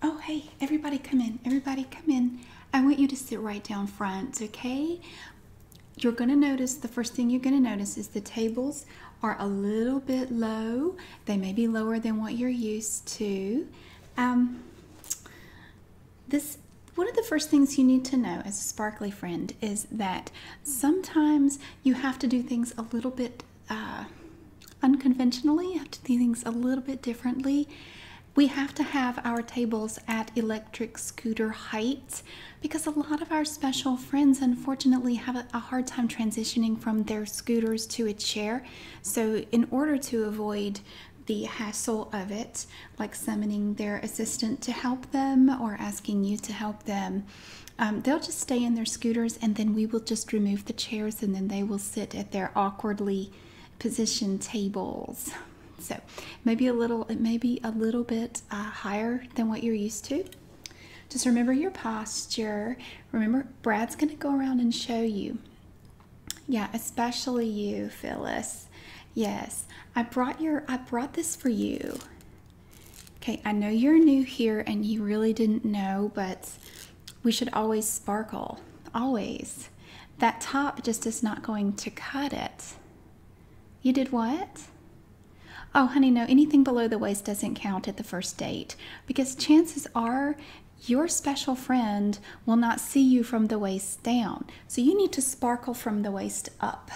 Oh, hey, everybody come in. Everybody come in. I want you to sit right down front, okay? You're going to notice the first thing you're going to notice is the tables are a little bit low. They may be lower than what you're used to. Um, this one of the first things you need to know as a sparkly friend is that sometimes you have to do things a little bit uh, unconventionally. I have to do things a little bit differently. We have to have our tables at electric scooter height because a lot of our special friends unfortunately have a hard time transitioning from their scooters to a chair. So, in order to avoid the hassle of it, like summoning their assistant to help them or asking you to help them, um, they'll just stay in their scooters and then we will just remove the chairs and then they will sit at their awkwardly positioned tables so maybe a little it may be a little bit uh, higher than what you're used to just remember your posture remember brad's going to go around and show you yeah especially you phyllis yes i brought your i brought this for you Okay, I know you're new here and you really didn't know, but we should always sparkle, always. That top just is not going to cut it. You did what? Oh, honey, no, anything below the waist doesn't count at the first date because chances are your special friend will not see you from the waist down. So you need to sparkle from the waist up.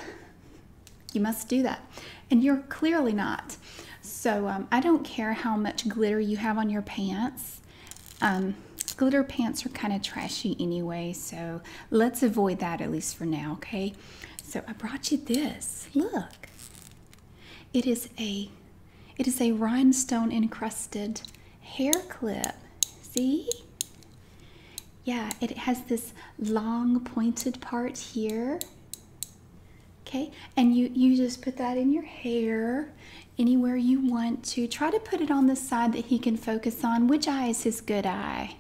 You must do that. And you're clearly not. So um, I don't care how much glitter you have on your pants. Um, glitter pants are kind of trashy anyway, so let's avoid that at least for now, okay? So I brought you this. Look. It is a it is a rhinestone encrusted hair clip. See? Yeah, it has this long pointed part here Okay, and you, you just put that in your hair anywhere you want to. Try to put it on the side that he can focus on. Which eye is his good eye?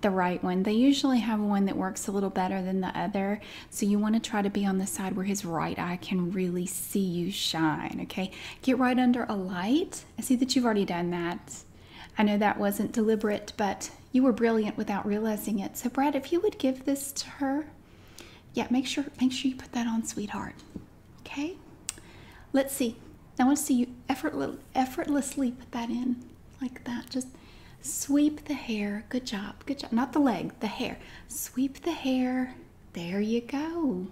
The right one. They usually have one that works a little better than the other. So you want to try to be on the side where his right eye can really see you shine. Okay, get right under a light. I see that you've already done that. I know that wasn't deliberate, but you were brilliant without realizing it. So, Brad, if you would give this to her, yeah, make sure make sure you put that on, sweetheart. Okay. Let's see. I want to see you effortless, effortlessly put that in like that. Just sweep the hair. Good job. Good job. Not the leg, the hair. Sweep the hair. There you go.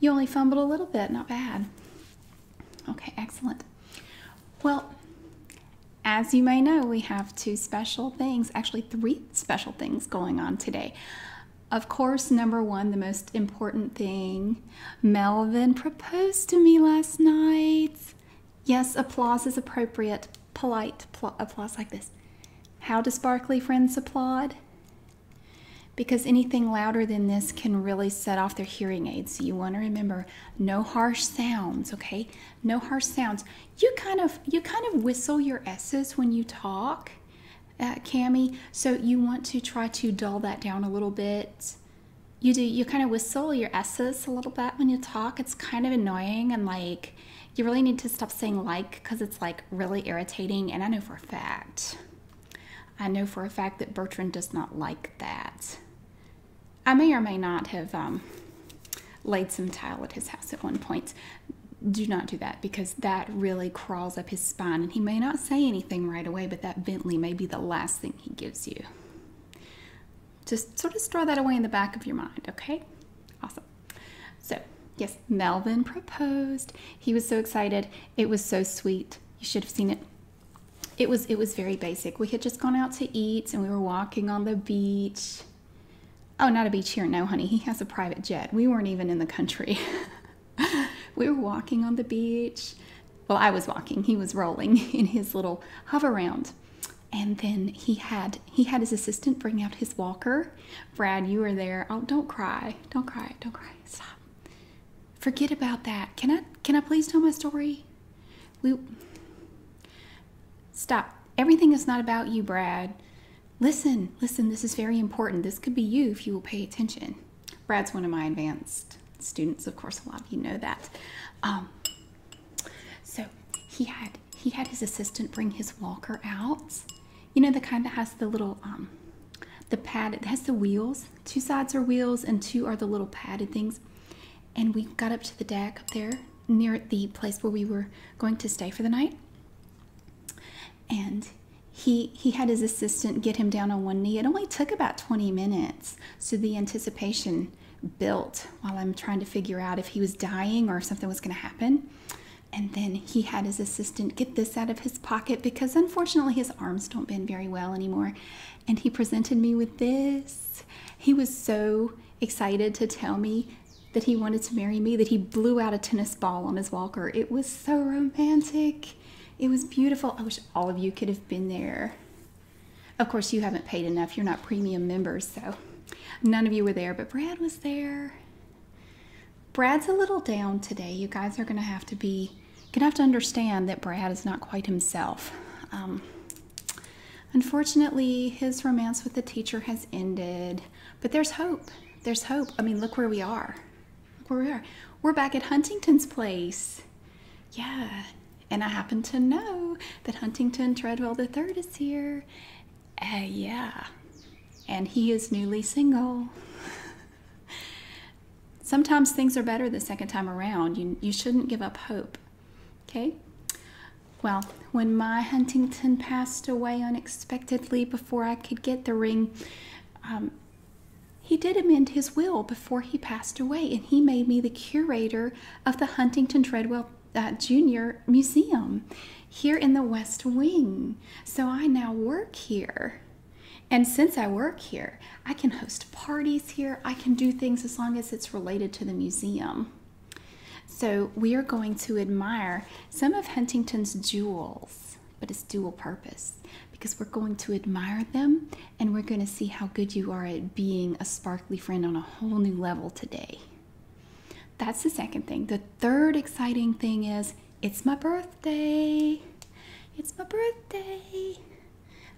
You only fumbled a little bit. Not bad. Okay, excellent. Well, as you may know, we have two special things, actually, three special things going on today. Of course, number one, the most important thing Melvin proposed to me last night. Yes, applause is appropriate. Polite applause like this. How do sparkly friends applaud? Because anything louder than this can really set off their hearing aids. So you want to remember no harsh sounds, okay? no harsh sounds. You kind of you kind of whistle your s's when you talk, uh, So you want to try to dull that down a little bit. You do. You kind of whistle your s's a little bit when you talk. It's kind of annoying and like you really need to stop saying like because it's like really irritating. And I know for a fact, I know for a fact that Bertrand does not like that. I may or may not have um, laid some tile at his house at one point. Do not do that because that really crawls up his spine and he may not say anything right away, but that Bentley may be the last thing he gives you. Just sort of store that away in the back of your mind, okay? Awesome. So, yes, Melvin proposed. He was so excited. It was so sweet. You should have seen it it was it was very basic. We had just gone out to eat and we were walking on the beach. Oh, not a beach here. No, honey. He has a private jet. We weren't even in the country. we were walking on the beach. Well, I was walking. He was rolling in his little hover round. And then he had he had his assistant bring out his walker. Brad, you were there. Oh, don't cry. Don't cry. Don't cry. Stop. Forget about that. Can I can I please tell my story? We stop. Everything is not about you, Brad. Listen, listen, this is very important. This could be you if you will pay attention. Brad's one of my advanced students, of course, a lot of you know that. Um, so he had he had his assistant bring his walker out. You know the kind that has the little um, the pad. It has the wheels. Two sides are wheels, and two are the little padded things and we got up to the deck up there near the place where we were going to stay for the night and he he had his assistant get him down on one knee it only took about 20 minutes so the anticipation built while i'm trying to figure out if he was dying or if something was going to happen and then he had his assistant get this out of his pocket because unfortunately his arms don't bend very well anymore and he presented me with this he was so excited to tell me that he wanted to marry me that he blew out a tennis ball on his walker. It was so romantic. It was beautiful. I wish all of you could have been there. Of course, you haven't paid enough. You're not premium members, so none of you were there, but Brad was there. Brad's a little down today. You guys are going to have to be, going to have to understand that Brad is not quite himself. Um, Unfortunately, his romance with the teacher has ended, but there's hope. There's hope. I mean, look where we are. Look where we are. We're back at Huntington's place. Yeah. And I happen to know that Huntington Treadwell III is here. Uh, yeah. And he is newly single. Sometimes things are better the second time around. you shouldn't give up hope. Okay. Well, when my Huntington passed away unexpectedly before I could get the ring, um, he did amend his will before he passed away, and he made me the curator of the Huntington Treadwell uh, Jr. Museum here in the West Wing. So I now work here. And since I work here, I can host parties here. I can do things as long as it's related to the museum. So we are going to admire some of Huntington's jewels, but it's dual purpose because we're going to admire them and we're going to see how good you are at being a sparkly friend on a whole new level today. That's the second thing. The third exciting thing is it's my birthday. It's my birthday.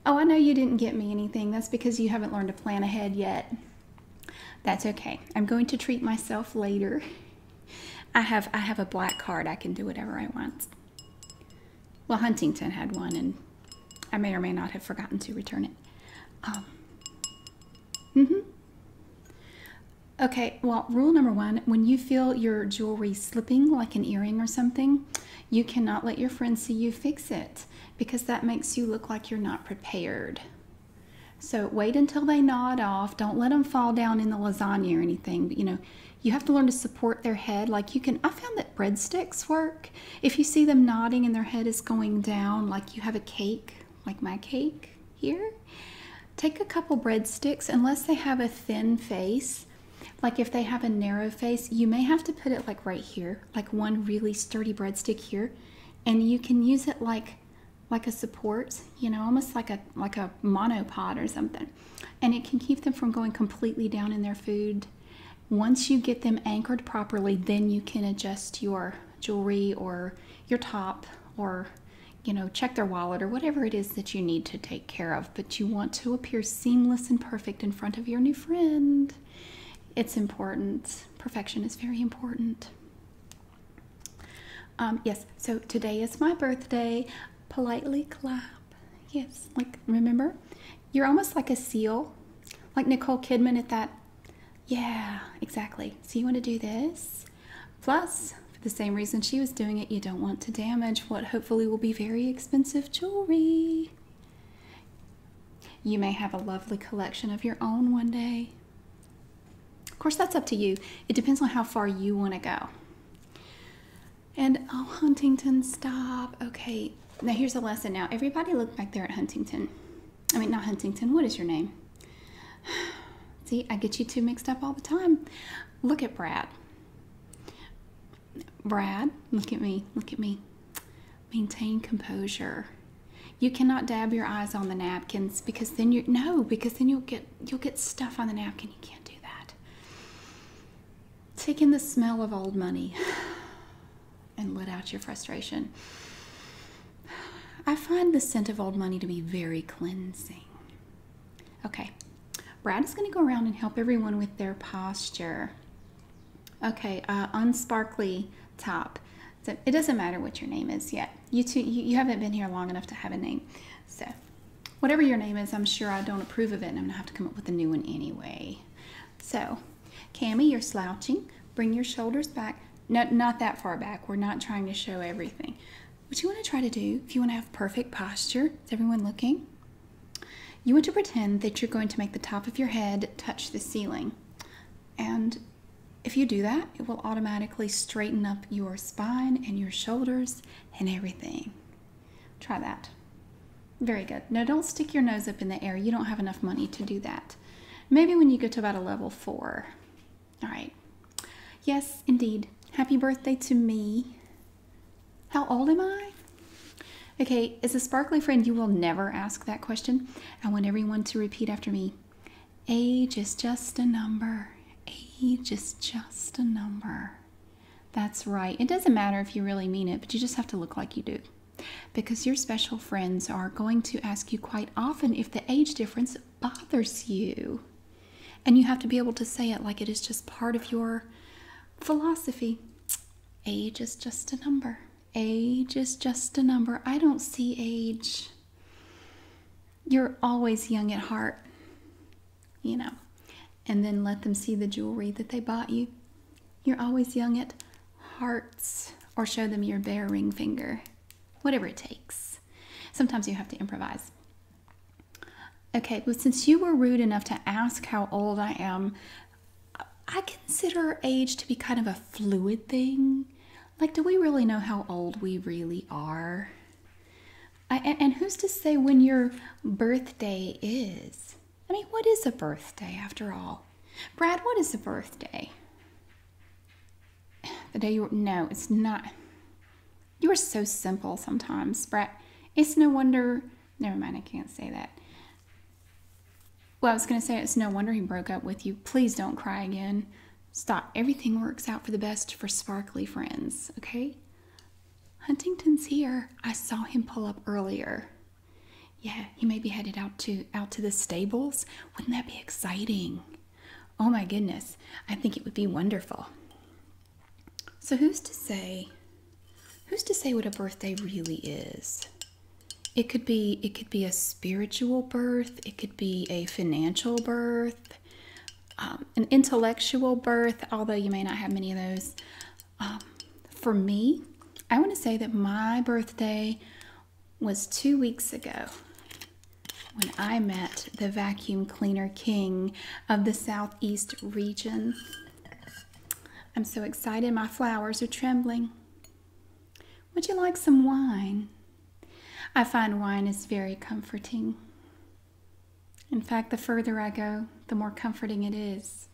Oh, I know you didn't get me anything. That's because you haven't learned to plan ahead yet. That's okay. I'm going to treat myself later. I have I have a black card. I can do whatever I want. Well, Huntington had one, and I may or may not have forgotten to return it. Um, mm-hmm. Okay, well, rule number one, when you feel your jewelry slipping like an earring or something, you cannot let your friends see you fix it because that makes you look like you're not prepared. So wait until they nod off. Don't let them fall down in the lasagna or anything. you know, you have to learn to support their head. Like you can, I found that breadsticks work. If you see them nodding and their head is going down, like you have a cake, like my cake here, take a couple breadsticks, unless they have a thin face. Like if they have a narrow face, you may have to put it like right here like one really sturdy breadstick here, and you can use it like like a support, you know, almost like a like a monopod or something. And it can keep them from going completely down in their food. Once you get them anchored properly, then you can adjust your jewelry or your top or you know, check their wallet or whatever it is that you need to take care of, but you want to appear seamless and perfect in front of your new friend. It's important. Perfection is very important. Um, yes, so today is my birthday. Politely clap. Yes, like remember, you're almost like a seal, like Nicole Kidman at that. Yeah, exactly. So you want to do this. Plus, for the same reason she was doing it, you don't want to damage what hopefully will be very expensive jewelry. You may have a lovely collection of your own one day. Of course, that's up to you. It depends on how far you want to go. And oh, Huntington, stop. Okay, now here's a lesson now. Everybody look back there at Huntington. I mean, not Huntington, what is your name? See, I get you two mixed up all the time. Look at Brad. Brad, look at me, look at me. Maintain composure. You cannot dab your eyes on the napkins because then you no, because then you'll get you'll get stuff on the napkin. You can't do that. Take in the smell of old money and let out your frustration. I find the scent of old money to be very cleansing. Okay, Brad is going to go around and help everyone with their posture. Okay, uh, unsparkly top. it doesn't matter what your name is yet. You two, you, haven't been here long enough to have a name. So whatever your name is, I'm sure I don't approve of it and I'm gonna have to come up with a new one anyway. So Cammy, you're slouching. Bring your shoulders back. No, not that far back. We're not trying to show everything. What you wanna try to do, if you wanna have perfect posture, is everyone looking? You want to pretend that you're going to make the top of your head touch the ceiling. And if you do that, it will automatically straighten up your spine and your shoulders and everything. Try that. Very good. Now, don't stick your nose up in the air. You don't have enough money to do that. Maybe when you get to about a level four. All right. Yes, indeed. Happy birthday to me. How old am I? Okay, as a sparkly friend, you will never ask that question. I want everyone to repeat after me Age is just a number. Age is just a number. That's right. It doesn't matter if you really mean it, but you just have to look like you do. Because your special friends are going to ask you quite often if the age difference bothers you. And you have to be able to say it like it is just part of your philosophy. Age is just a number. Age is just a number. I don't see age. You're always young at heart, you know. And then let them see the jewelry that they bought you. You're always young at hearts. Or show them your bare ring finger. Whatever it takes. Sometimes you have to improvise. Okay, but since you were rude enough to ask how old I am, I consider age to be kind of a fluid thing. Like, do we really know how old we really are? and, who's to say when your birthday is? I mean, what is a birthday after all? Brad, what is a birthday? The day you were, no, it's not. You are so simple sometimes, Brad. It's no wonder Never mind, I can't say that. Well, I was going to say it's no wonder he broke up with you. Please don't cry again. Stop. Everything works out for the best for sparkly friends, okay? Huntington's here. I saw him pull up earlier. Yeah, he may be headed out to out to the stables. Wouldn't that be exciting? Oh my goodness. I think it would be wonderful. So who's to say Who's to say what a birthday really is? It could be it could be a spiritual birth, it could be a financial birth, um, an intellectual birth, although you may not have many of those. Um, for me, I want to say that my birthday was two weeks ago when I met the vacuum cleaner king of the Southeast region. I'm so excited, my flowers are trembling. Would you like some wine? I find wine is very comforting. In fact, the further I go, the more comforting it is.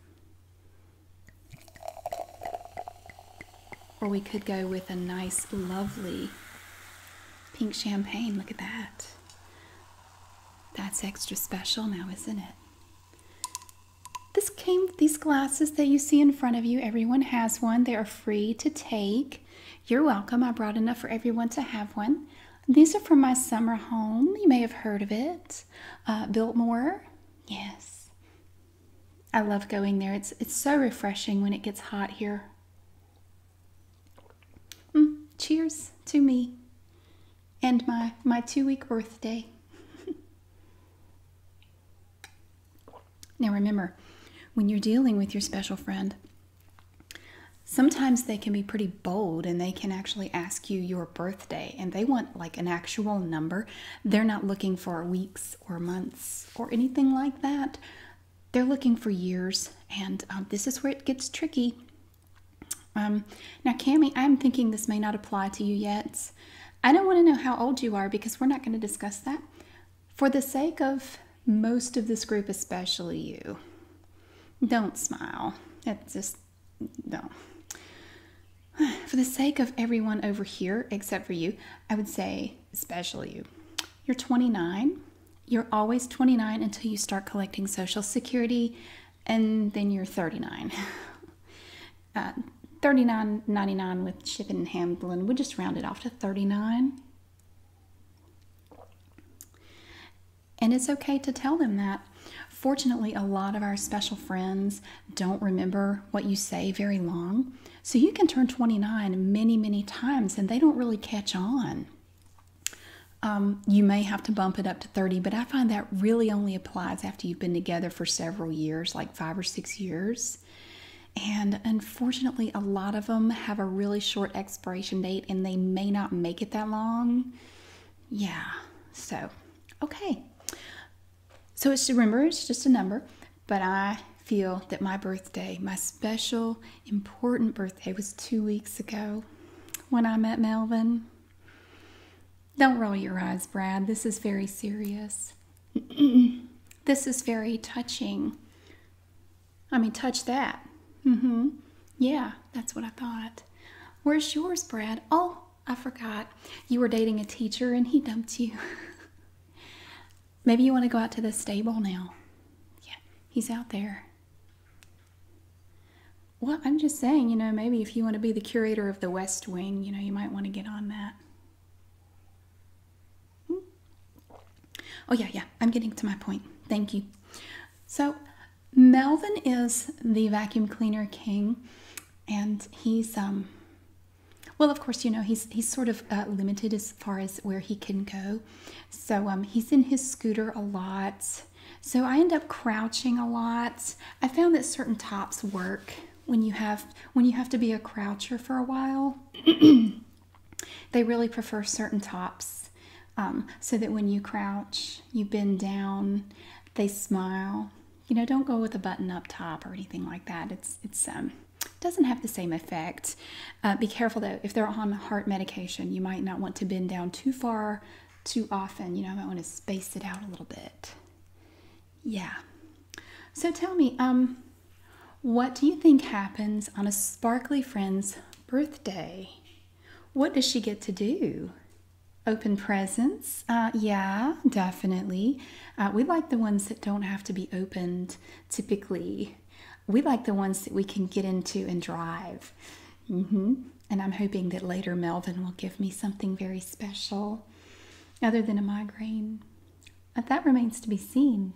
Or we could go with a nice, lovely pink champagne. Look at that. That's extra special now, isn't it? This came with these glasses that you see in front of you. Everyone has one. They are free to take. You're welcome. I brought enough for everyone to have one. These are from my summer home. You may have heard of it. Uh, Biltmore. Yes. I love going there. It's, it's so refreshing when it gets hot here. Mm, cheers to me and my, my two week birthday. now, remember, when you're dealing with your special friend, sometimes they can be pretty bold and they can actually ask you your birthday and they want like an actual number. They're not looking for weeks or months or anything like that. They're looking for years, and um, this is where it gets tricky um, now, Cami, I'm thinking this may not apply to you yet. I don't want to know how old you are because we're not going to discuss that. For the sake of most of this group, especially you, don't smile. It's just, don't. For the sake of everyone over here, except for you, I would say, especially you, you're 29. You're always 29 until you start collecting Social Security, and then you're 39 uh, 39.99 with shipping and handling we just rounded off to 39 and it's okay to tell them that fortunately a lot of our special friends don't remember what you say very long so you can turn 29 many many times and they don't really catch on um, you may have to bump it up to 30 but i find that really only applies after you've been together for several years, like five or six years. And unfortunately, a lot of them have a really short expiration date and they may not make it that long. Yeah, so okay. So it's remember, it's just a number, but I feel that my birthday, my special, important birthday, was two weeks ago when I met Melvin. Don't roll your eyes, Brad. This is very serious. this is very touching. I mean, touch that. Mm hmm. Yeah, that's what I thought. Where's yours, Brad? Oh, I forgot. You were dating a teacher and he dumped you. Maybe you want to go out to the stable now. Yeah, he's out there. Well, I'm just saying, you know, maybe if you want to be the curator of the West Wing, you know, you might want to get on that. Hmm? Oh, yeah, yeah, I'm getting to my point. Thank you. So, Melvin is the vacuum cleaner king, and he's, um, well, of course, you know, he's, he's sort of uh, limited as far as where he can go. So, um, he's in his scooter a lot. So I end up crouching a lot. I found that certain tops work when you have when you have to be a croucher for a while. they really prefer certain tops um, so that when you crouch, you bend down, they smile. You know, don't go with a button-up top or anything like that. It's it's um doesn't have the same effect. Uh, be careful though, if they're on heart medication, you might not want to bend down too far too often. You know, I might want to space it out a little bit. Yeah. So tell me, um, what do you think happens on a sparkly friend's birthday? What does she get to do? Open presents? Uh, yeah, definitely. Uh, we like the ones that don't have to be opened typically. We like the ones that we can get into and drive. Mm -hmm and I'm hoping that later Melvin will give me something very special other than a migraine. Uh, that remains to be seen.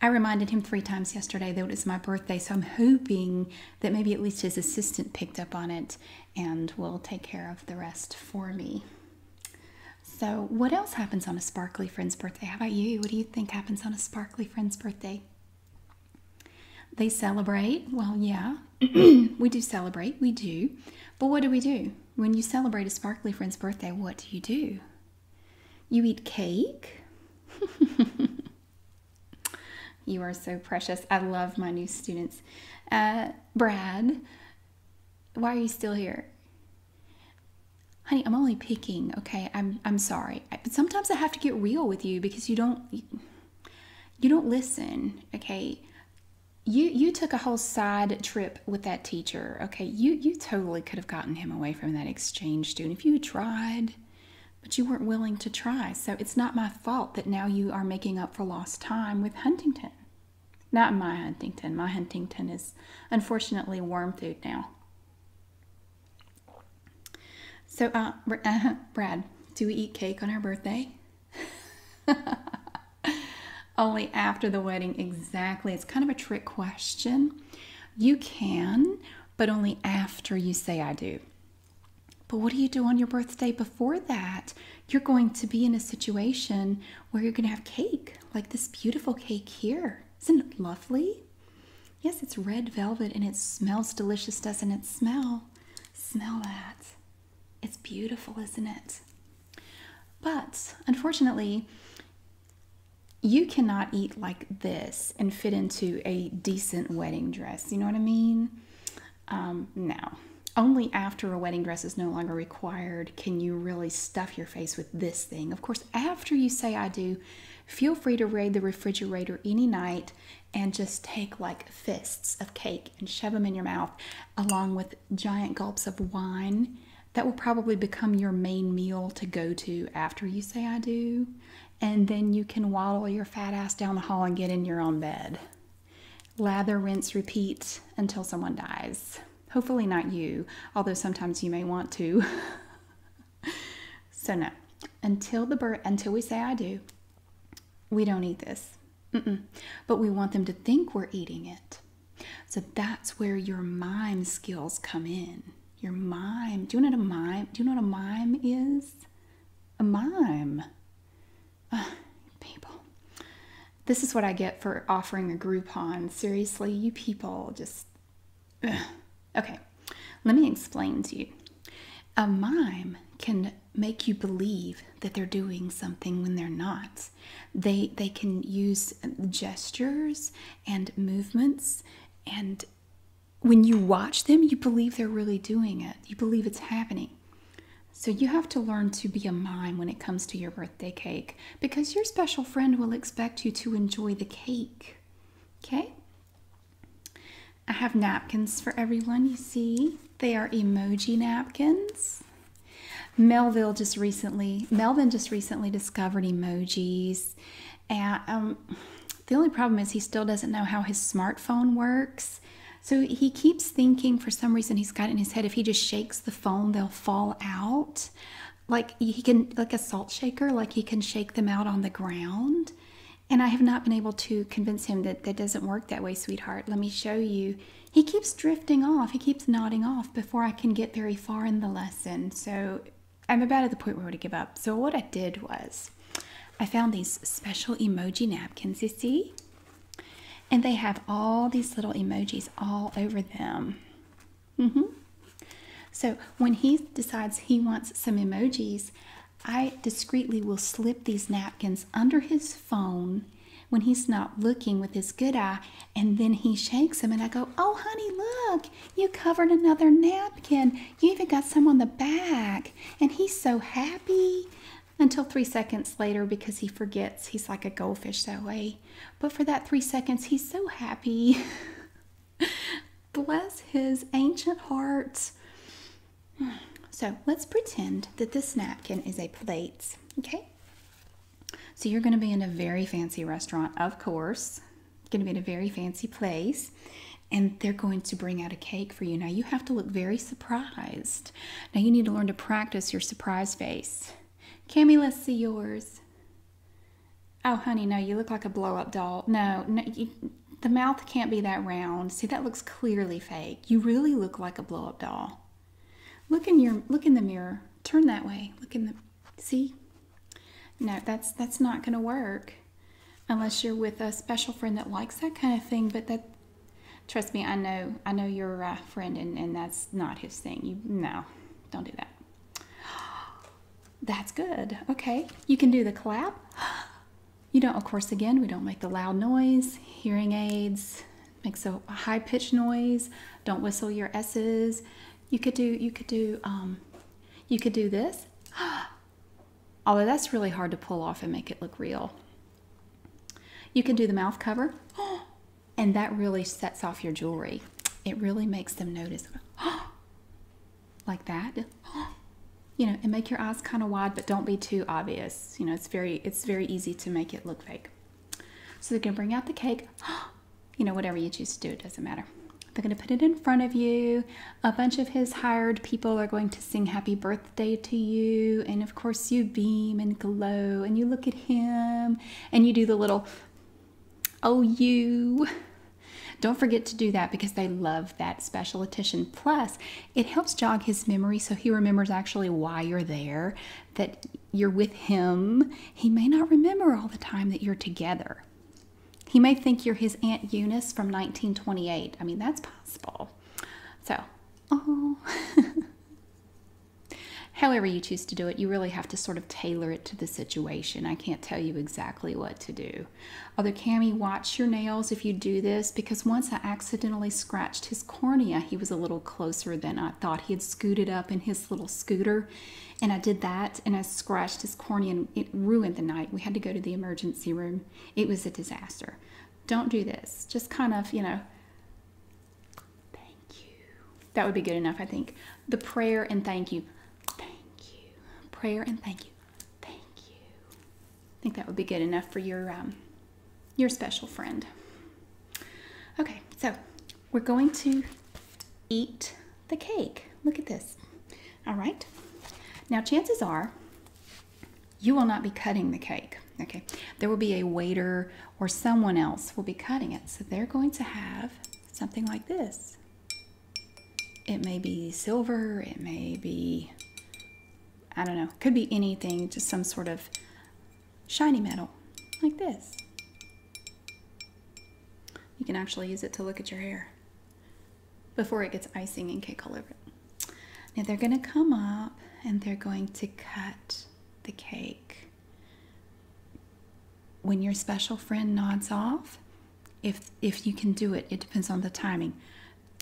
I reminded him three times yesterday that it was my birthday, so I'm hoping that maybe at least his assistant picked up on it and will take care of the rest for me. So, what else happens on a sparkly friend's birthday? How about you? What do you think happens on a sparkly friend's birthday? They celebrate. Well, yeah, we do celebrate. We do. But what do we do? When you celebrate a sparkly friend's birthday, what do you do? You eat cake. you are so precious. I love my new students. Uh, Brad, why are you still here? Honey, I'm only picking, okay? I'm, I'm sorry sometimes i have to get real with you because you don't you don't listen okay you you took a whole side trip with that teacher okay you you totally could have gotten him away from that exchange student if you tried but you weren't willing to try so it's not my fault that now you are making up for lost time with huntington not my huntington my huntington is unfortunately worm food now so, uh, uh, Brad, do we eat cake on our birthday? Only after the wedding, exactly. It's kind of a trick question. You can, but only after you say I do. But what do you do on your birthday before that? You're going to be in a situation where you're going to have cake, like this beautiful cake here. Isn't it lovely? Yes, it's red velvet and it smells delicious, doesn't it? Smell. Smell that. It's beautiful, isn't it? But unfortunately, you cannot eat like this and fit into a decent wedding dress. You know what I mean? Um, no. Only after a wedding dress is no longer required can you really stuff your face with this thing. Of course, after you say I do, feel free to raid the refrigerator any night and just take like fists of cake and shove them in your mouth along with giant gulps of wine that will probably become your main meal to go to after you say I do and then you can waddle your fat ass down the hall and get in your own bed. Lather, rinse, repeat until someone dies. Hopefully, not you, although sometimes you may want to. so no, until the bird, until we say I do, we don't eat this. But we want them to think we're eating it. So that's where your mime skills come in. Your mime. Do you know what a mime? Do you know what a mime is? A mime. people. This is what I get for offering a Groupon. Seriously, you people just Okay, let me explain to you. A mime can make you believe that they're doing something when they're not. They they can use gestures and movements and when you watch them you believe they're really doing it. You believe it's happening. So you have to learn to be a mime when it comes to your birthday cake because your special friend will expect you to enjoy the cake. Okay? I have napkins for everyone, you see. They are emoji napkins. Melville just recently, Melvin just recently discovered emojis. And um, the only problem is he still doesn't know how his smartphone works. So he keeps thinking for some reason he's got in his head if he just shakes the phone, they'll fall out. Like he can, like a salt shaker, like he can shake them out on the ground. And I have not been able to convince him that that doesn't work that way, sweetheart. Let me show you. He keeps drifting off, he keeps nodding off before I can get very far in the lesson. So I'm about at the point where I would give up. So what I did was I found these special emoji napkins, you see? And they have all these little emojis all over them. Mm-hmm. So when he decides he wants some emojis, I discreetly will slip these napkins under his phone when he's not looking with his good eye, and then he shakes them, and I go, Oh, honey, look, you covered another napkin. You even got some on the back. And he's so happy until three seconds later because he forgets he's like a goldfish that way. But for that three seconds, he's so happy. Bless his ancient heart. So let's pretend that this napkin is a plate, okay? So you're going to be in a very fancy restaurant, of course. you going to be in a very fancy place. And they're going to bring out a cake for you. Now you have to look very surprised. Now you need to learn to practice your surprise face. Cammy, let's see yours. Oh, honey, no, you look like a blow up doll. No, no, the mouth can't be that round. See, that looks clearly fake. You really look like a blow up doll. Look in your look in the mirror. Turn that way. Look in the see. No, that's that's not going to work unless you're with a special friend that likes that kind of thing. But that trust me, I know I know your uh, friend, and and that's not his thing. You no, don't do that. That's good. Okay. You can do the clap. You don't, of course, again, we don't make the loud noise. Hearing aids make so high pitched noise. Don't whistle your S's. You could do, you could do, um, you could do this. Although that's really hard to pull off and make it look real. You can do the mouth cover, and that really sets off your jewelry. It really makes them notice like that you know and make your eyes kind of wide but don't be too obvious you know it's very it's very easy to make it look fake so they're gonna bring out the cake you know whatever you choose to do it doesn't matter they're gonna put it in front of you a bunch of his hired people are going to sing happy birthday to you and of course you beam and glow and you look at him and you do the little oh you don't forget to do that because they love that special attention. Plus, it helps jog his memory so he remembers actually why you're there, that you're with him. He may not remember all the time that you're together. He may think you're his Aunt Eunice from 1928. I mean, that's possible. So, oh. However, you choose to do it, you really have to sort of tailor it to the situation. I can't tell you exactly what to do. Other Cammy, watch your nails if you do this because once I accidentally scratched his cornea, he was a little closer than I thought. He had scooted up in his little scooter, and I did that and I scratched his cornea and it ruined the night. We had to go to the emergency room. It was a disaster. Don't do this. Just kind of, you know, thank you. That would be good enough, I think. The prayer and thank you. Thank you. Prayer and thank you. Thank you. I think that would be good enough for your um, your special friend. Okay, so we're going to eat the cake. Look at this. All right. Now, chances are you will not be cutting the cake. Okay. There will be a waiter or someone else will be cutting it. So they're going to have something like this. It may be silver, it may be, I don't know, could be anything, just some sort of shiny metal, like this. You can actually use it to look at your hair before it gets icing and cake all over it. Now they're gonna come up and they're going to cut the cake when your special friend nods off, if if you can do it, it depends on the timing.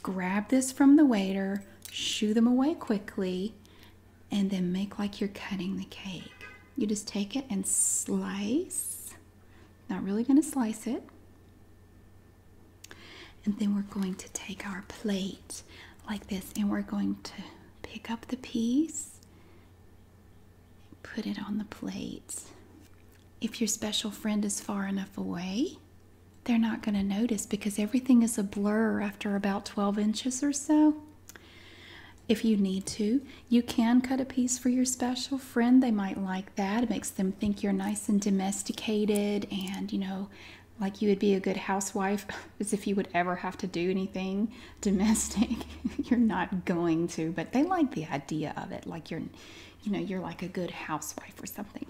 Grab this from the waiter, shoo them away quickly, and then make like you're cutting the cake. You just take it and slice. Not really going to slice it. And then we're going to take our plate like this and we're going to pick up the piece Put it on the plates. If your special friend is far enough away, they're not going to notice because everything is a blur after about 12 inches or so. If you need to, you can cut a piece for your special friend. They might like that. It makes them think you're nice and domesticated and, you know, like you would be a good housewife, as if you would ever have to do anything domestic. you're not going to, but they like the idea of it, like you're you know you're like a good housewife or something.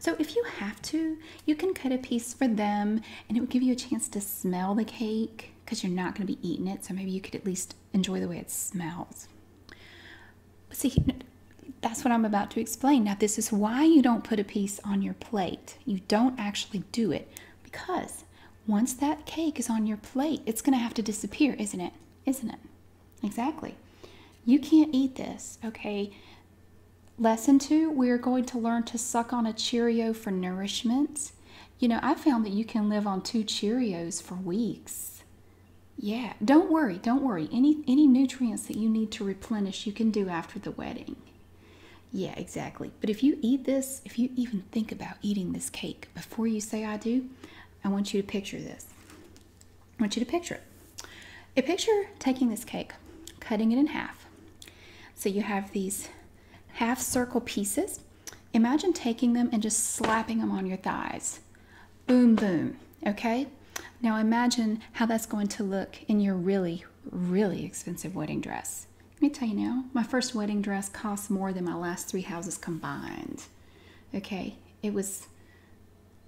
So if you have to, you can cut a piece for them and it would give you a chance to smell the cake because you're not going to be eating it. So maybe you could at least enjoy the way it smells. But see, that's what I'm about to explain. Now, this is why you don't put a piece on your plate. You don't actually do it because once that cake is on your plate, it's going to have to disappear, isn't it? Isn't it? Exactly. You can't eat this, okay? Lesson two, we're going to learn to suck on a Cheerio for nourishment. You know, I found that you can live on two Cheerios for weeks. Yeah, don't worry, don't worry. Any any nutrients that you need to replenish, you can do after the wedding. Yeah, exactly. But if you eat this, if you even think about eating this cake before you say I do, I want you to picture this. I want you to picture it. A picture taking this cake, cutting it in half. So you have these half circle pieces. Imagine taking them and just slapping them on your thighs. Boom, boom. Okay? Now imagine how that's going to look in your really, really expensive wedding dress. Let me tell you now, my first wedding dress cost more than my last three houses combined. Okay, it was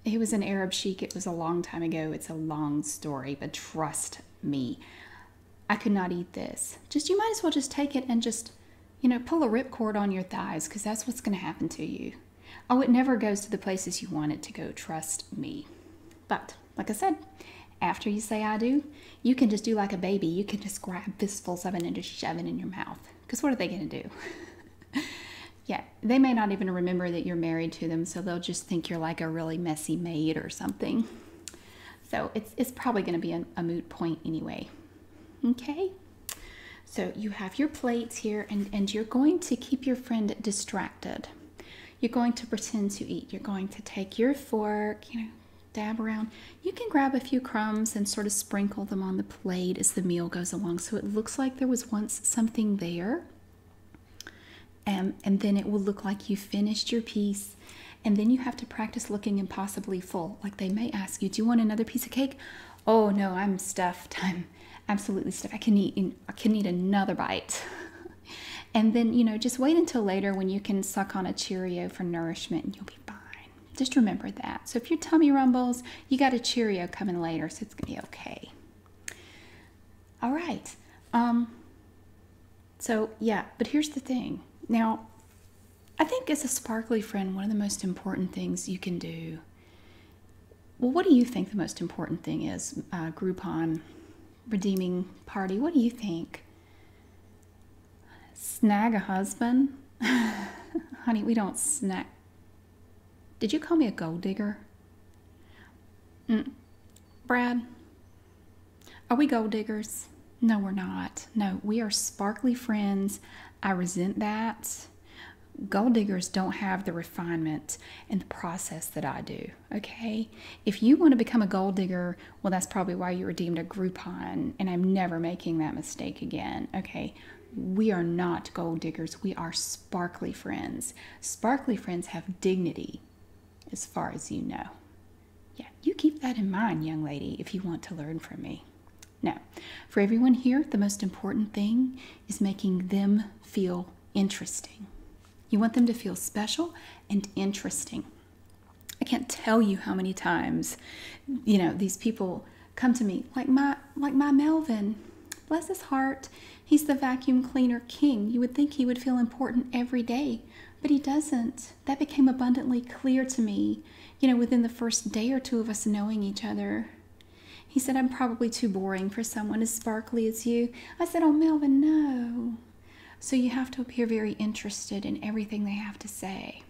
it was an Arab sheik. It was a long time ago. It's a long story, but trust me. I could not eat this. Just you might as well just take it and just, you know, pull a ripcord on your thighs because that's what's going to happen to you. Oh, it never goes to the places you want it to go. Trust me. But like I said, after you say I do, you can just do like a baby. You can just grab fistfuls of it and just shove it in your mouth because what are they going to do? yeah, they may not even remember that you're married to them, so they'll just think you're like a really messy maid or something. So it's, it's probably going to be a, moot point anyway. Okay? So you have your plates here, and, and you're going to keep your friend distracted. You're going to pretend to eat. You're going to take your fork, you know, dab around. You can grab a few crumbs and sort of sprinkle them on the plate as the meal goes along. So it looks like there was once something there. Um, and then it will look like you finished your piece. And then you have to practice looking impossibly full. Like they may ask you, do you want another piece of cake? Oh no, I'm stuffed. I'm absolutely stuffed. I can eat, I can eat another bite. and then, you know, just wait until later when you can suck on a Cheerio for nourishment and you'll be fine. Just remember that. So if your tummy rumbles, you got a Cheerio coming later, so it's gonna be okay. All right. Um, so yeah, but here's the thing. Now, I think as a sparkly friend, one of the most important things you can do. Well, what do you think the most important thing is? Uh, Groupon redeeming party. What do you think? Snag a husband? Honey, we don't snag. Did you call me a gold digger? Mm. Brad, are we gold diggers? No, we're not. No, we are sparkly friends. I resent that. Gold diggers don't have the refinement and the process that I do, okay? If you want to become a gold digger, well, that's probably why you were deemed a Groupon, and I'm never making that mistake again. Okay, we are not gold diggers, we are sparkly friends. Sparkly friends have dignity, as far as you know. Yeah, you keep that in mind, young lady, if you want to learn from me. Now, for everyone here, the most important thing is making them feel interesting. You want them to feel special and interesting. I can't tell you how many times, you know, these people come to me like my like my Melvin. Bless his heart. He's the vacuum cleaner king. You would think he would feel important every day, but he doesn't. That became abundantly clear to me, you know, within the first day or two of us knowing each other. He said, I'm probably too boring for someone as sparkly as you. I said, Oh, Melvin, no. So you have to appear very interested in everything they have to say.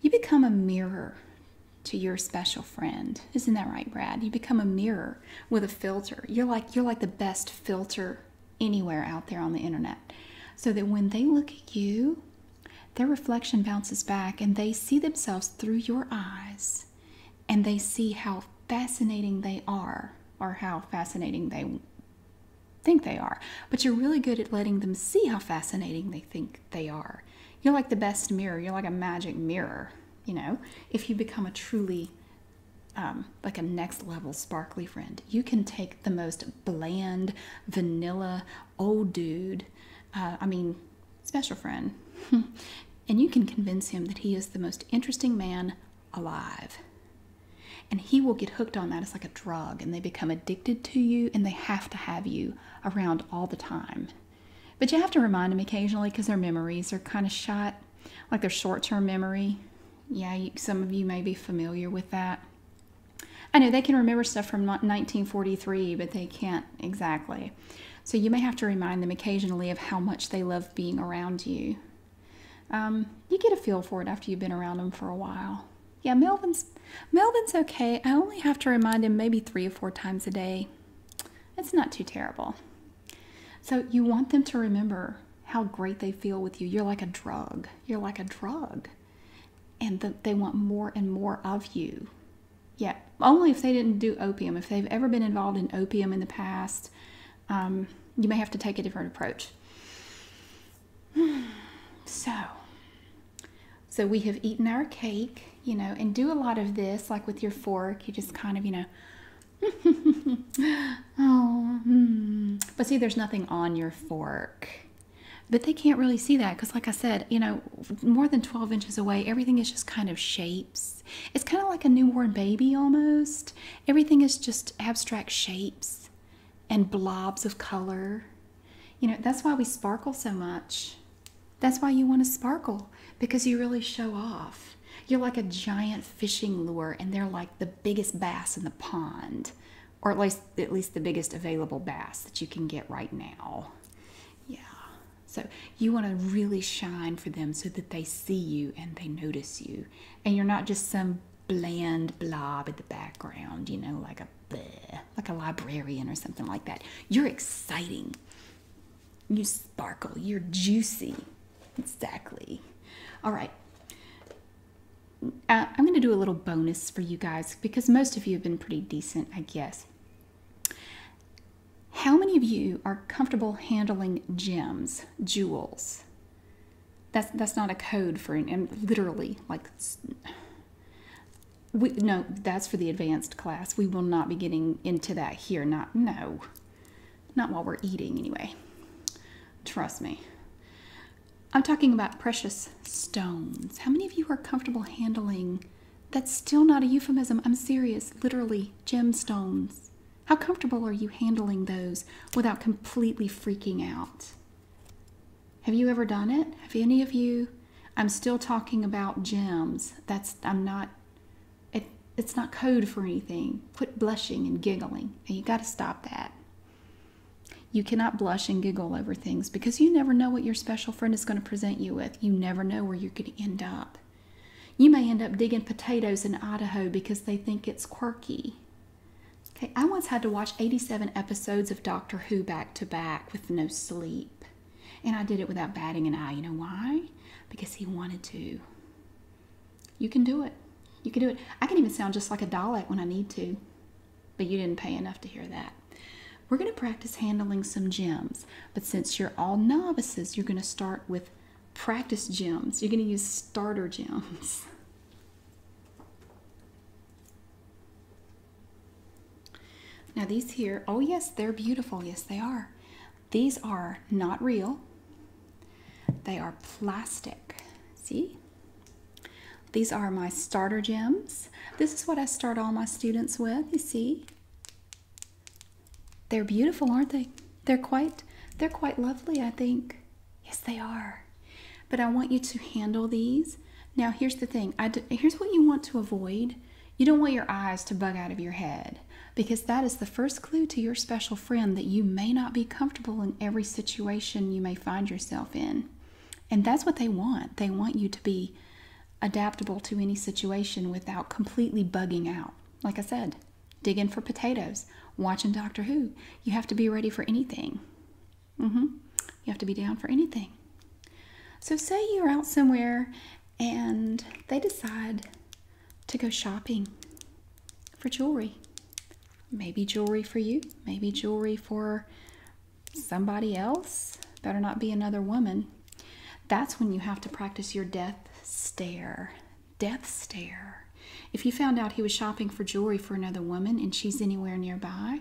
You become a mirror to your special friend. Isn't that right, Brad? You become a mirror with a filter. You're like you're like the best filter anywhere out there on the internet. So that when they look at you, their reflection bounces back and they see themselves through your eyes and they see how fascinating they are or how fascinating they think they are, but you're really good at letting them see how fascinating they think they are. You're like the best mirror, you're like a magic mirror, you know. If you become a truly um, like a next level sparkly friend, you can take the most bland, vanilla, old dude, uh, I mean, special friend, and you can convince him that he is the most interesting man alive and he will get hooked on that. It's like a drug, and they become addicted to you, and they have to have you around all the time. But you have to remind them occasionally because their memories are kind of shot, like their short term memory. Yeah, some of you may be familiar with that. I know they can remember stuff from 1943, but they can't exactly. So you may have to remind them occasionally of how much they love being around you. Um, you get a feel for it after you've been around them for a while yeah, Melvin's Melvin's okay. I only have to remind him maybe three or four times a day. It's not too terrible. So you want them to remember how great they feel with you. You're like a drug. You're like a drug. And they want more and more of you. Yeah, only if they didn't do opium. If they've ever been involved in opium in the past, um, you may have to take a different approach. so, so we have eaten our cake, you know, and do a lot of this, like with your fork. You just kind of, you know, oh, hmm. but see, there's nothing on your fork. But they can't really see that because, like I said, you know, more than 12 inches away, everything is just kind of shapes. It's kind of like a newborn baby almost. Everything is just abstract shapes and blobs of color you know, that's why we sparkle so much. That's why you want to sparkle because you really show off. You're like a giant fishing lure and they're like the biggest bass in the pond or at least at least the biggest available bass that you can get right now. Yeah. So you want to really shine for them so that they see you and they notice you and you're not just some bland blob in the background, you know, like a like a librarian or something like that. You're exciting. You sparkle. You're juicy. Exactly. All right. Uh, I'm going to do a little bonus for you guys because most of you have been pretty decent, I guess. How many of you are comfortable handling gems, jewels? That's that's not a code for an literally like we no that's for the advanced class. We will not be getting into that here. Not no, not while we're eating anyway. Trust me. I'm talking about precious stones. How many of you are comfortable handling? That's still not a euphemism. I'm serious. Literally gemstones. How comfortable are you handling those without completely freaking out? Have you ever done it? Have any of you? I'm still talking about gems. That's I'm not it it's not code for anything. Quit blushing and giggling. Now you got to stop that. You cannot blush and giggle over things because you never know what your special friend is going to present you with. You never know where you're going to end up. You may end up digging potatoes in Idaho because they think it's quirky. Okay, I once had to watch 87 episodes of Doctor Who back to back with no sleep. And I did it without batting an eye. You know why? Because he wanted to. You can do it. You can do it. I can even sound just like a dialect when I need to. But you didn't pay enough to hear that. We're going to practice handling some gems. But since you're all novices, you're going to start with practice gems. You're going to use starter gems. Now these here, oh yes, they're beautiful. Yes, they are. These are not real. They are plastic. See? These are my starter gems. This is what I start all my students with, you see? They're beautiful, aren't they? They're quite they're quite lovely, I think. Yes, they are. But I want you to handle these. Now, here's the thing. here's what you want to avoid. You don't want your eyes to bug out of your head because that is the first clue to your special friend that you may not be comfortable in every situation you may find yourself in. And that's what they want. They want you to be adaptable to any situation without completely bugging out. Like I said, digging for potatoes, watching Doctor Who. You have to be ready for anything. Mm-hmm. You have to be down for anything. So, say you're out somewhere and they decide to go shopping for jewelry. Maybe jewelry for you, maybe jewelry for somebody else. Better not be another woman. That's when you have to practice your death stare. Death stare. If you found out he was shopping for jewelry for another woman and she's anywhere nearby,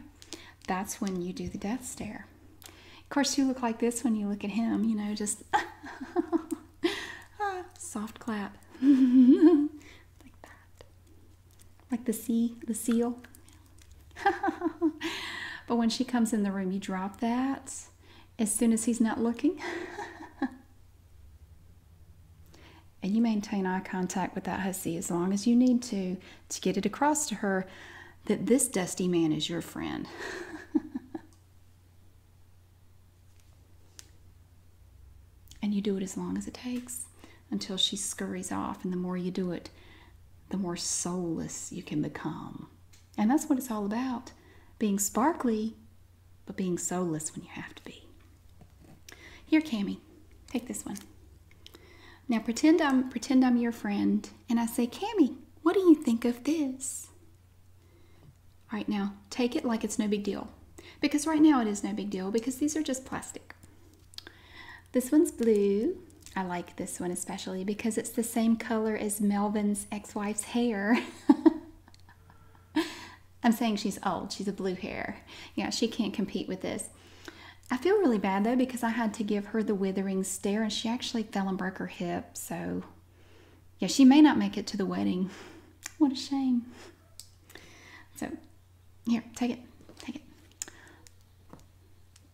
that's when you do the death stare. Of course, you look like this when you look at him, you know, just ah, soft clap. like that. Like the sea, the seal. but when she comes in the room, you drop that as soon as he's not looking. And you maintain eye contact with that hussy as long as you need to to get it across to her that this dusty man is your friend. and you do it as long as it takes until she scurries off. And the more you do it, the more soulless you can become. And that's what it's all about being sparkly, but being soulless when you have to be. Here, Cammy, take this one. Now pretend I'm pretend I'm your friend and I say, Cammy, what do you think of this? Right now take it like it's no big deal. Because right now it is no big deal because these are just plastic. This one's blue. I like this one especially because it's the same color as Melvin's ex-wife's hair. I'm saying she's old. She's a blue hair. Yeah, she can't compete with this. I feel really bad though because I had to give her the withering stare and she actually fell and broke her hip. So, yeah, she may not make it to the wedding. What a shame. So, here, take it. Take it.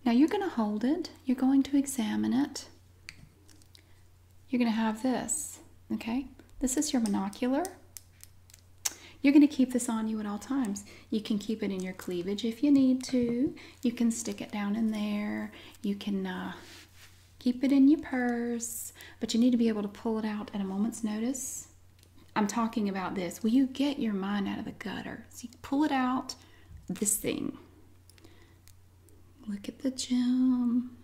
Now you're going to hold it, you're going to examine it. You're going to have this, okay? This is your monocular. You're going to keep this on you at all times. You can keep it in your cleavage if you need to. You can stick it down in there. You can uh, keep it in your purse, but you need to be able to pull it out at a moment's notice. I'm talking about this. Will you get your mind out of the gutter? So pull it out, this thing. Look at the gem.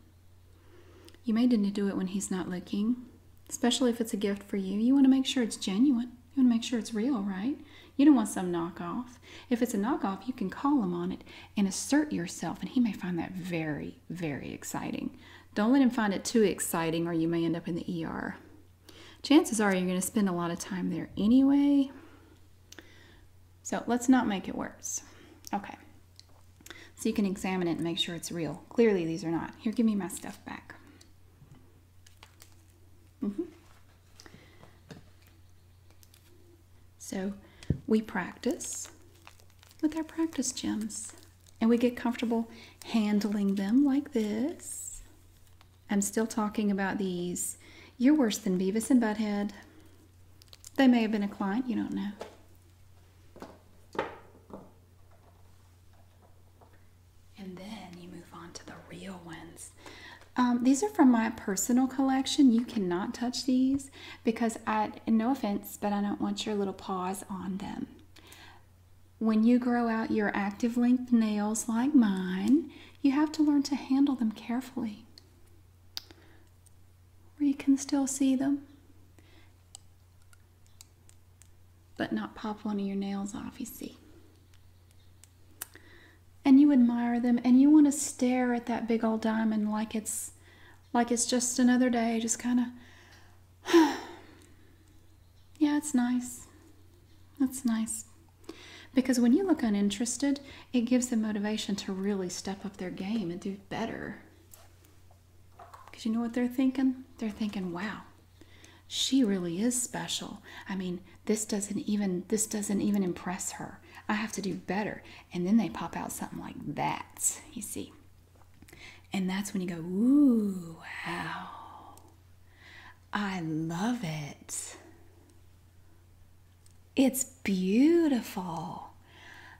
You may need to do it when he's not looking especially if it's a gift for you. You want to make sure it's genuine. You want to make sure it's real, right? You don't want some knockoff. If it's a knockoff, you can call him on it and assert yourself, and he may find that very, very exciting. Don't let him find it too exciting, or you may end up in the ER. Chances are you're going to spend a lot of time there anyway. So let's not make it worse. Okay. So you can examine it and make sure it's real. Clearly, these are not. Here, give me my stuff back. Mm -hmm. So we practice with our practice gems and we get comfortable handling them like this. I'm still talking about these. You're worse than Beavis and Butt Head. They may have been a client, you don't know. And then you move on to the real ones. Um, these are from my personal collection. You cannot touch these because I, no offense, but I don't want your little paws on them. When you grow out your active length nails like mine, you have to learn to handle them carefully. Where you can still see them but not pop one of your nails off, you see. And you admire them and you want to stare at that big old diamond like it's like it's just another day, just kind of Yeah, it's nice. That's nice. Because when you look uninterested, it gives them motivation to really step up their game and do better. Because you know what they're thinking? They're thinking, wow, she really is special. I mean, this doesn't even this doesn't even impress her. I have to do better. And then they pop out something like that, you see. And that's when you go, ooh, wow. I love it. It's beautiful.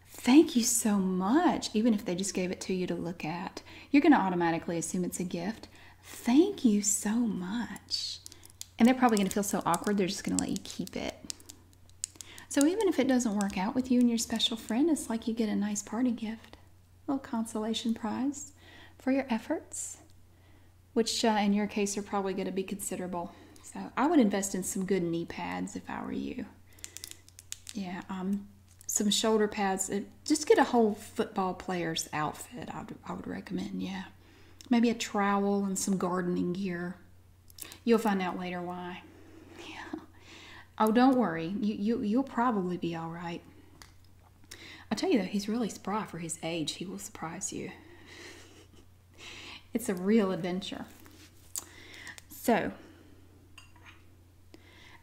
Thank you so much. Even if they just gave it to you to look at, you're going to automatically assume it's a gift. Thank you so much. And they're probably going to feel so awkward, they're just going to let you keep it. So even if it doesn't work out with you and your special friend, it's like you get a nice party gift, a little consolation prize for your efforts, which uh, in your case are probably going to be considerable. So I would invest in some good knee pads if I were you. Yeah, i um, some shoulder pads. Just get a whole football player's outfit. I would, recommend, yeah. Maybe a trowel and some gardening gear. You'll find out later why. Yeah. Oh, don't worry. You, you, you'll probably be all right. I tell you though, he's really spry for his age. He will surprise you. it's a real adventure. So,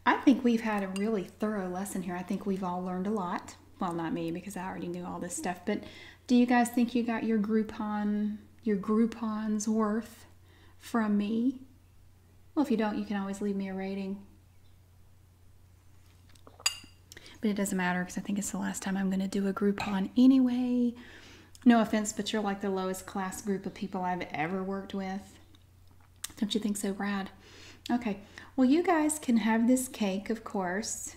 I think we've had a really thorough lesson here. I think we've all learned a lot. Well, not me because I already knew all this stuff, but do you guys think you got your Groupon, your Groupon's worth from me? Well, if you don't, you can always leave me a rating. But it doesn't matter because I think it's the last time I'm going to do a Groupon anyway. No offense, but you're like the lowest class group of people I've ever worked with. Don't you think so, Brad? Okay, well, you guys can have this cake, of course.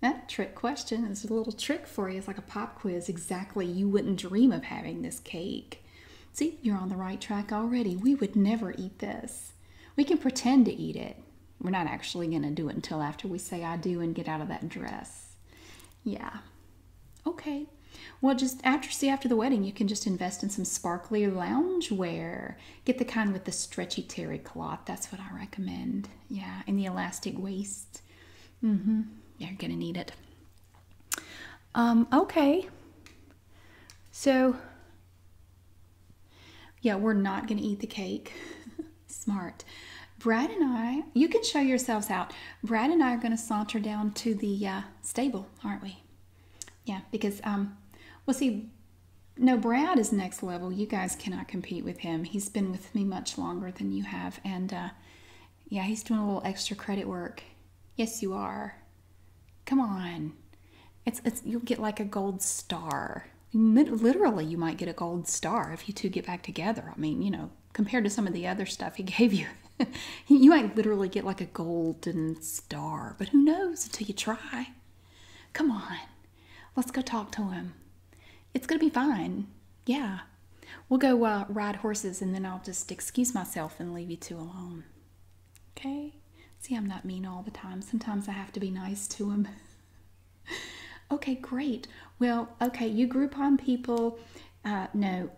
That trick question is a little trick for you. It's like a pop quiz. Exactly, you wouldn't dream of having this cake. See, you're on the right track already. We would never eat this. We can pretend to eat it. We're not actually going to do it until after we say I do and get out of that dress. Yeah, Okay. Well, just after see after the wedding, you can just invest in some sparkly lounge wear. Get the kind with the stretchy terry cloth. That's what I recommend. Yeah, and the elastic waist. Mm-hmm. Yeah, you're gonna need it. Um, okay. So yeah, we're not gonna eat the cake. Smart. Brad and I, you can show yourselves out. Brad and I are gonna saunter down to the uh, stable, aren't we? Yeah, because um, we'll see, no, Brad is next level. You guys cannot compete with him. He's been with me much longer than you have, and uh, yeah, he's doing a little extra credit work. Yes, you are. Come on, it's you'll get like a gold star. Literally, you might get a gold star if you two get back together. I mean, you know, compared to some of the other stuff he gave you, you might literally get like a golden star, but who knows until you try. Come on, let's go talk to him. It's going to be fine. Yeah. We'll go uh, ride horses and then I'll just excuse myself and leave you two alone. Okay? See, I'm not mean all the time. Sometimes I have to be nice to him. okay, great. Well, okay, you Groupon people, uh, no,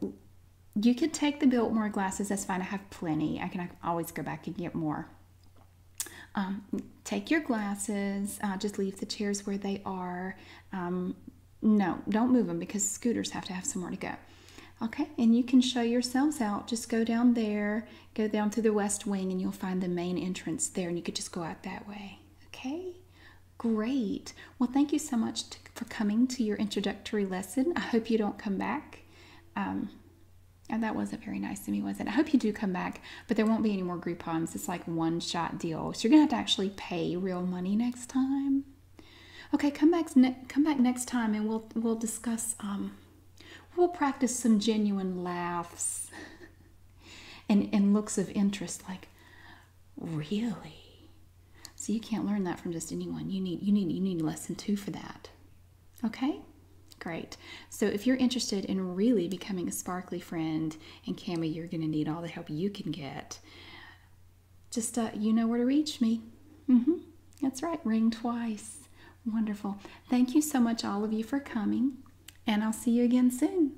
you could take the Biltmore glasses. That's fine. I have plenty. I can, always go back and get more. Um, take your glasses. Uh, just leave the chairs where they are. Um, no, don't move them because scooters have to have somewhere to go. Okay, and you can show yourselves out. Just go down there, go down through the west wing, and you'll find the main entrance there, and you could just go out that way. Okay, great. Well, thank you so much for coming to your introductory lesson. I hope you don't come back. Um, and that wasn't very nice to me, was it? I hope you do come back, but there won't be any more Groupons. It's like one shot deal. So you're going to have to actually pay real money next time. Okay, come back, come back next time and we'll, we'll discuss, um, we'll practice some genuine laughs and, and looks of interest like, really? So you can't learn that from just anyone. You need you need you need lesson two for that. Okay? Great. So if you're interested in really becoming a sparkly friend and Cami, you're gonna need all the help you can get. Just uh, you know where to reach me. Mm-hmm. That's right, ring twice. Wonderful. Thank you so much, all of you, for coming, and I'll see you again soon.